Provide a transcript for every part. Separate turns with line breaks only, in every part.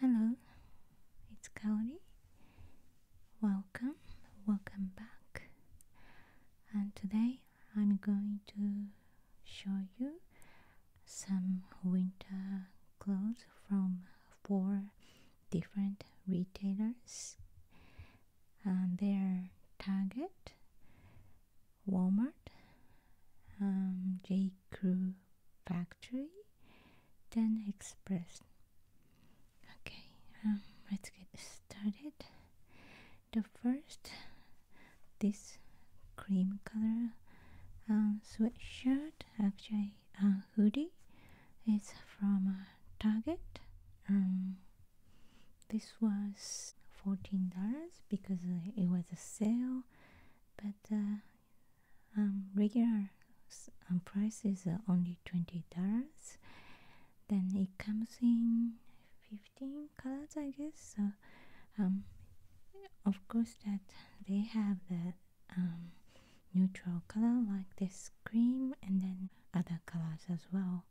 Hello, it's Kaori. Welcome, welcome back. And today I'm going to show you some winter clothes from four different retailers and their Target, Walmart, um, J. Crew factory then express okay um, let's get started the first this cream color uh, sweatshirt actually a hoodie is from uh, target um, this was $14 because uh, it was a sale but uh, um, regular um, price is only twenty dollars. Then it comes in fifteen colors, I guess. So, um, of course, that they have the um, neutral color like this cream, and then other colors as well.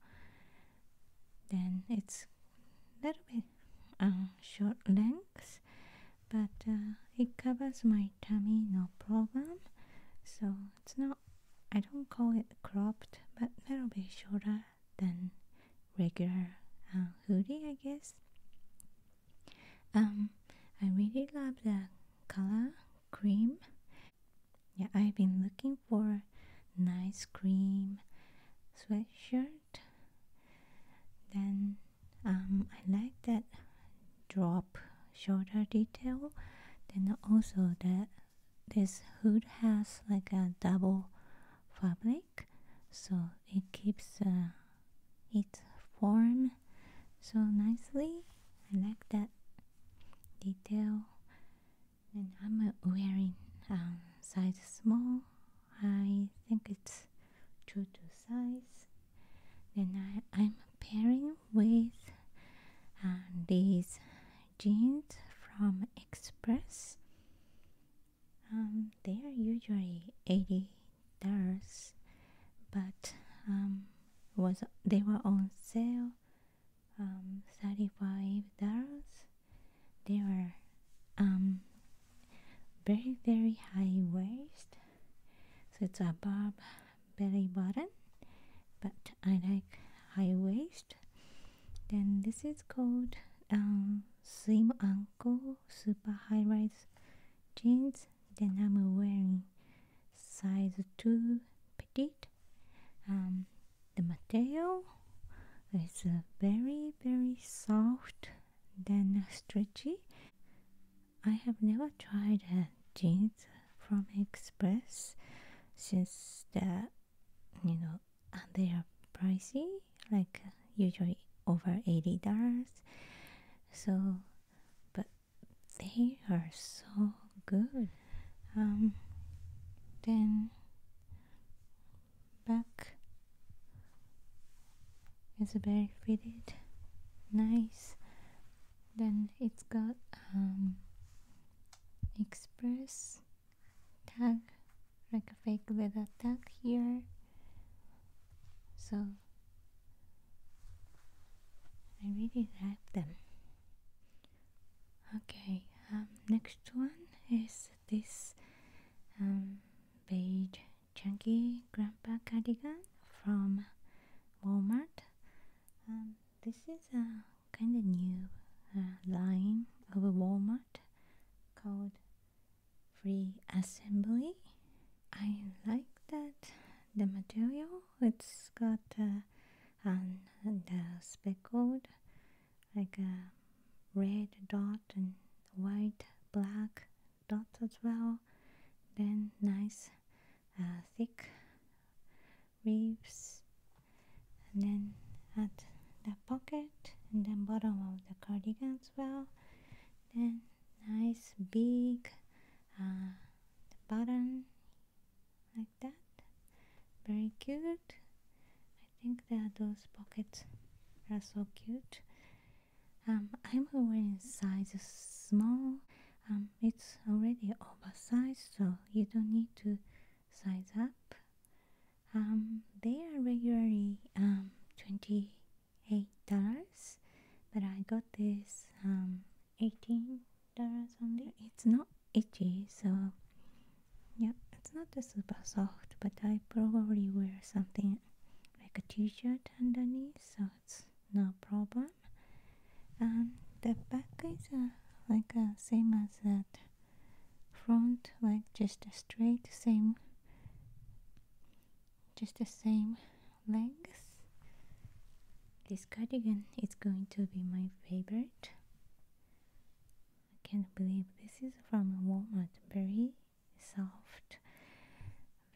Then it's a little bit uh, short length but uh, it covers my tummy no problem so it's not I don't call it cropped but a little bit shorter than regular uh, hoodie I guess um I really love the color cream yeah I've been looking for nice cream sweatshirt then um, I like that drop shoulder detail then also that this hood has like a double fabric so it keeps uh, its form so nicely I like that detail and I'm wearing um, size small I think it's true to size. Then I, am pairing with uh, these jeans from Express. Um, they are usually eighty dollars, but um, was they were on sale um, thirty five dollars they are um, very very high waist, so it's above belly button, but I like high waist. Then this is called um, slim ankle super high rise jeans. Then I'm wearing size two petite. Um, the material is uh, very very soft then stretchy i have never tried jeans from express since the you know they are pricey like uh, usually over 80 dollars so but they are so good um, then back is very fitted nice then it's got um, express tag like a fake leather tag here so I really like them okay um, next one is this um, beige chunky grandpa cardigan from Walmart. Um, this is a kind of new uh, line of Walmart called Free Assembly. I like that the material. It's got uh, the speckled like a red dot and white black dot as well then nice uh, thick leaves and then at the pocket and then bottom of the cardigan as well then nice big uh, button like that very cute I think that those pockets are so cute. Um, I'm wearing size small. Um, it's already oversized, so you don't need to size up. Um, they are regularly twenty eight dollars, but I got this eighteen dollars only. It's not itchy so yeah it's not super soft but I probably wear something like a t-shirt underneath so it's no problem and um, the back is uh, like uh, same as that front like just a straight same just the same length this cardigan is going to be my favorite I can't believe this is from Walmart. Very soft,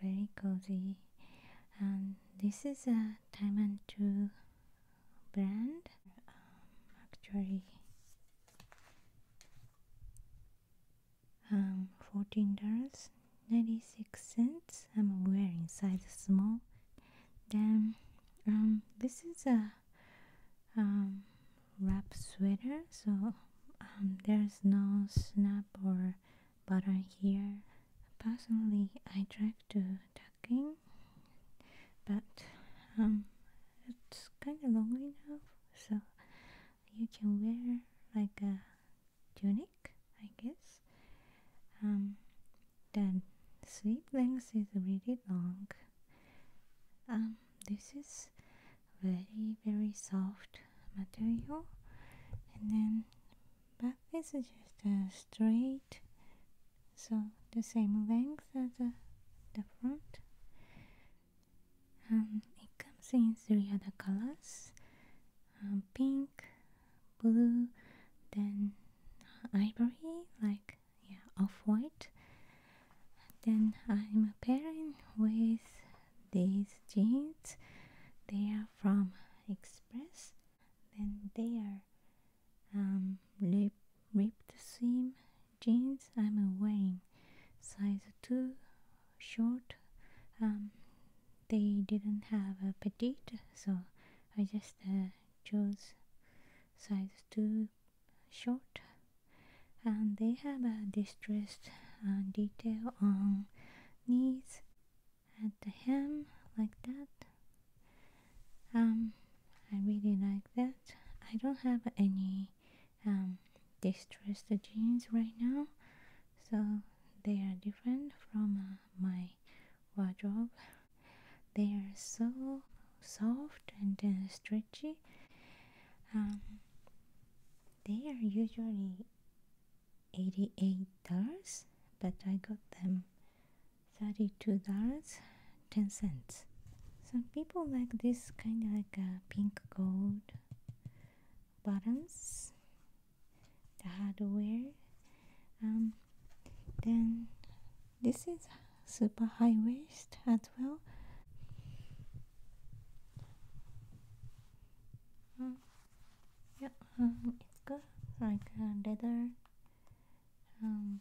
very cozy. And this is a Diamond 2 brand. Um, actually, um, $14.96. I'm wearing size small. Then um, this is a uh, um, wrap sweater so um, there's no snap or button here personally I tried to tucking but um, it's kind of long enough so you can wear like a tunic I guess then sweep length is really long. Um, this is very very soft material, and then back is just a straight, so the same length as the, the front. Um, it comes in three other colors: um, pink, blue, then ivory, like yeah, off-white then I'm pairing with these jeans they are from Express then they are um, ripped seam jeans I'm wearing size 2 short um, they didn't have a petite so I just uh, chose size too short and they have a distressed uh, detail on knees at the hem like that um i really like that i don't have any um, distressed jeans right now so they are different from uh, my wardrobe. They are so soft and uh, stretchy. Um, they are usually $88, but I got them $32.10. Some people like this kind of like a pink gold bottoms, the hardware. Um, then this is super high waist as well. Mm. Yeah, um, it's good. Like a leather um,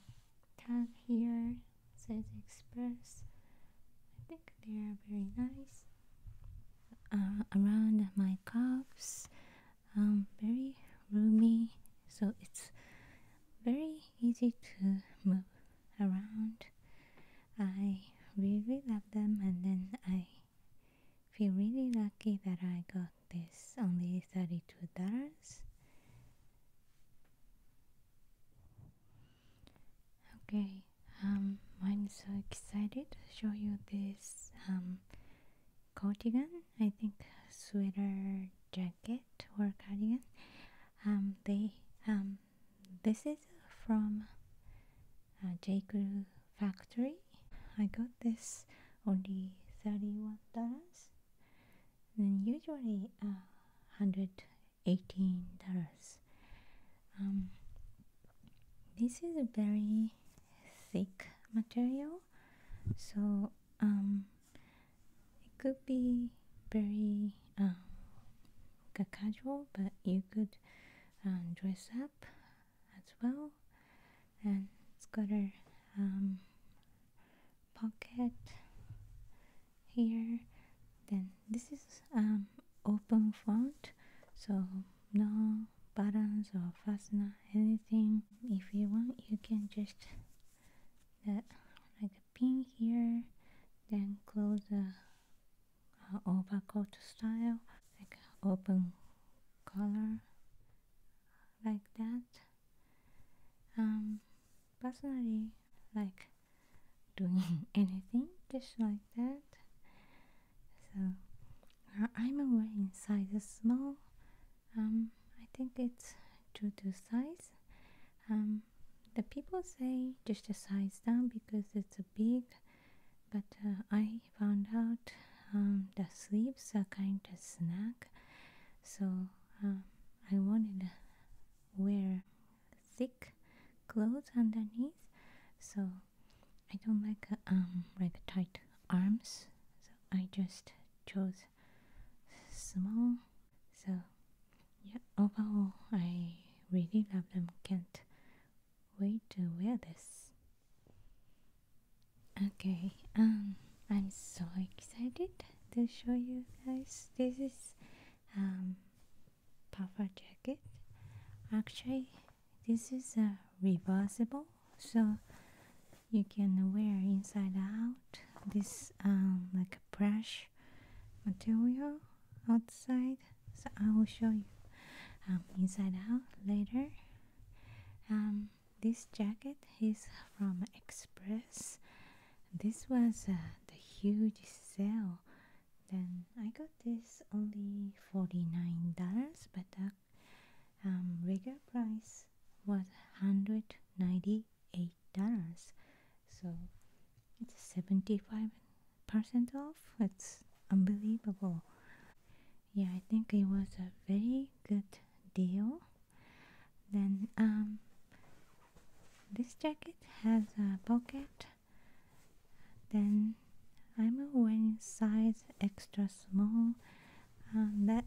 tag here says Express. I think they are very nice. Uh, around my cuffs, um, very roomy, so it's very easy to move around. I really love them, and then I feel really lucky that I got this only $32. Okay, um, I'm so excited to show you this um, cardigan, I think sweater jacket or cardigan. Um, they um, this is from uh, Crew factory. I got this only thirty one dollars. Then usually uh, hundred eighteen dollars. Um, this is a very thick material so um, it could be very uh, casual, but you could um, dress up as well. And it's got a um, pocket here. Then this is open font, so no buttons or fastener anything if you want you can just that like a pin here then close the uh, overcoat style like open collar like that um personally like doing anything just like that so I'm wearing inside a small, um, I think it's due to size. Um, the people say just a size down because it's a big, but uh, I found out um, the sleeves are kind of snug, so I wanted to wear thick clothes underneath. So I don't like um like tight arms, so I just chose small. So yeah, overall I really love them. Can't wait to wear this. Okay, um, I'm so excited to show you guys. This is um puffer jacket. Actually, this is uh, reversible so you can wear inside out this um, like a brush material outside so I will show you um, inside out later um, this jacket is from Express this was uh, the huge sale then I got this only $49 but uh, the um, regular price was $198 so it's 75% off it's unbelievable yeah i think it was a very good deal then um, this jacket has a pocket then I'm wearing size extra small. Uh, that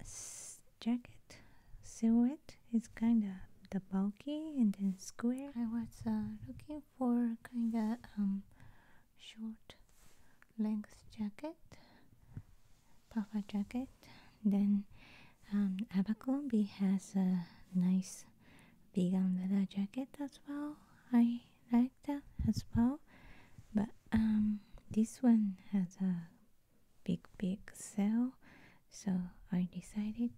jacket silhouette is kind of the bulky and then square. I was uh, looking for kind of um, short length jacket, puffer jacket. Then um, Abercrombie has a nice vegan leather jacket as well. I like as well but um this one has a big big sale so I decided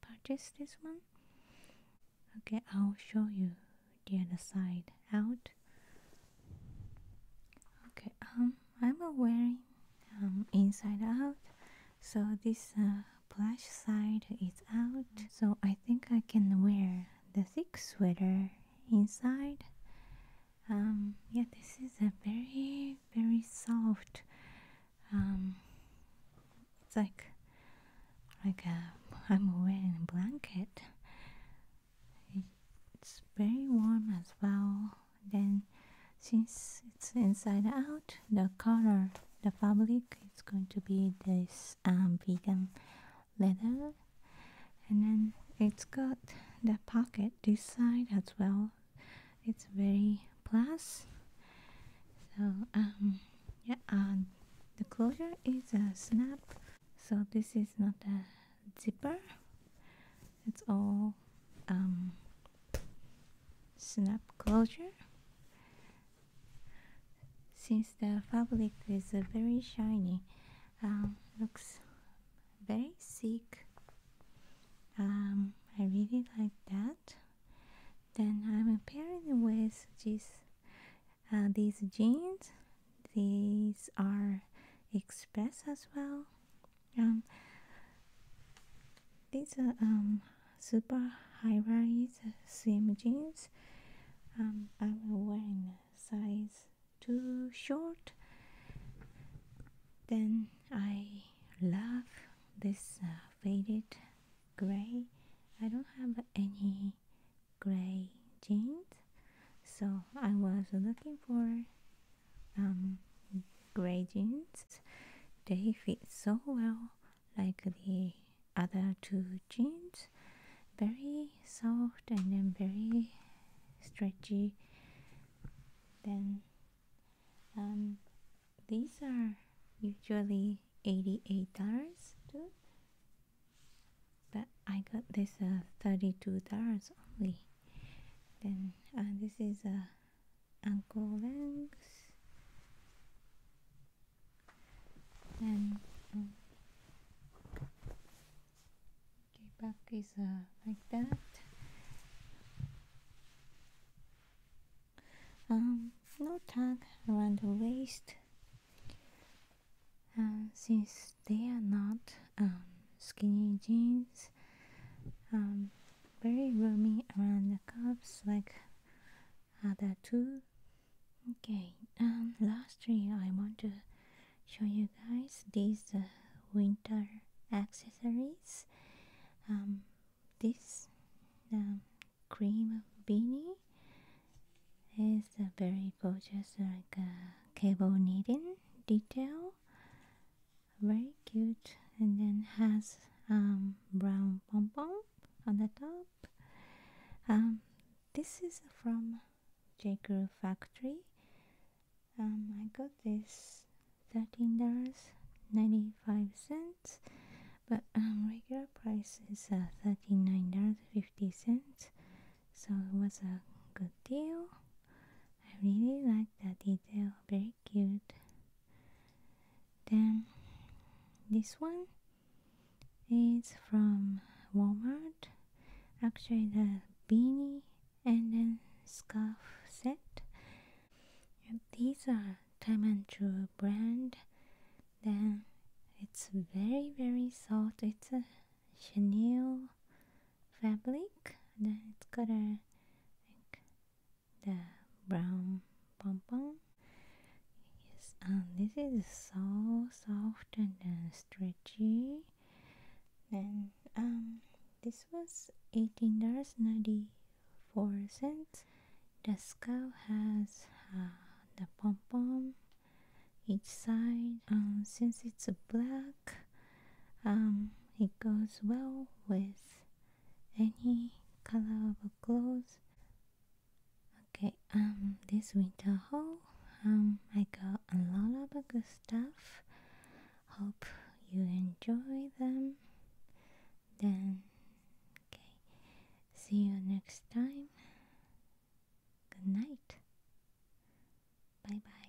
purchase this one okay I'll show you the other side out okay um I'm wearing um, inside out so this uh, plush side is out so I think I can wear the thick sweater inside. Um, yeah, this is a very, very soft. Um, it's like like a, I'm wearing a blanket. It's very warm as well. Then, since it's inside out, the color the fabric is going to be this um, vegan leather and then it's got the pocket this side as well it's very plus so um yeah the closure is a snap so this is not a zipper it's all um snap closure since the fabric is very shiny um, looks very thick um, I really like that then I'm pairing with this uh, these jeans these are express as well um, these are um, super high-rise slim jeans. Um, I'm wearing size too short. Then I love this uh, faded gray. I don't have any gray jeans, so I was looking for um, gray jeans. They fit so well like the other two jeans very soft and then very stretchy then um, these are usually $88 too but I got this uh, $32 only then uh, this is a uh, ankle length and um, okay, back is uh, like that. Um, no tag around the waist, And um, since they are not um, skinny jeans. Um, very roomy around the cups, like other ah, two okay and um, lastly I want to show you guys this uh, winter accessories um, this um, cream beanie is very gorgeous like uh, cable knitting detail very cute and then has um, brown pompon on the top. Um, this is from J Crew Factory. Um, I got this thirteen dollars ninety five cents, but um, regular price is uh, thirty nine dollars fifty cents. So it was a good deal. I really like that detail, very cute. Then this one is from Walmart. Actually, the beanie and then scarf set. And these are Timanchu brand. Then it's very very soft. It's a chenille fabric. And then it's got a the brown pom, Yes, and um, this is so soft and uh, stretchy. And um, this was eighteen dollars ninety four cents. The skull has uh, the pom pom each side. Um, since it's black, um, it goes well with any color of clothes okay um this winter haul um i got a lot of good stuff hope you enjoy them then okay see you next time good night bye bye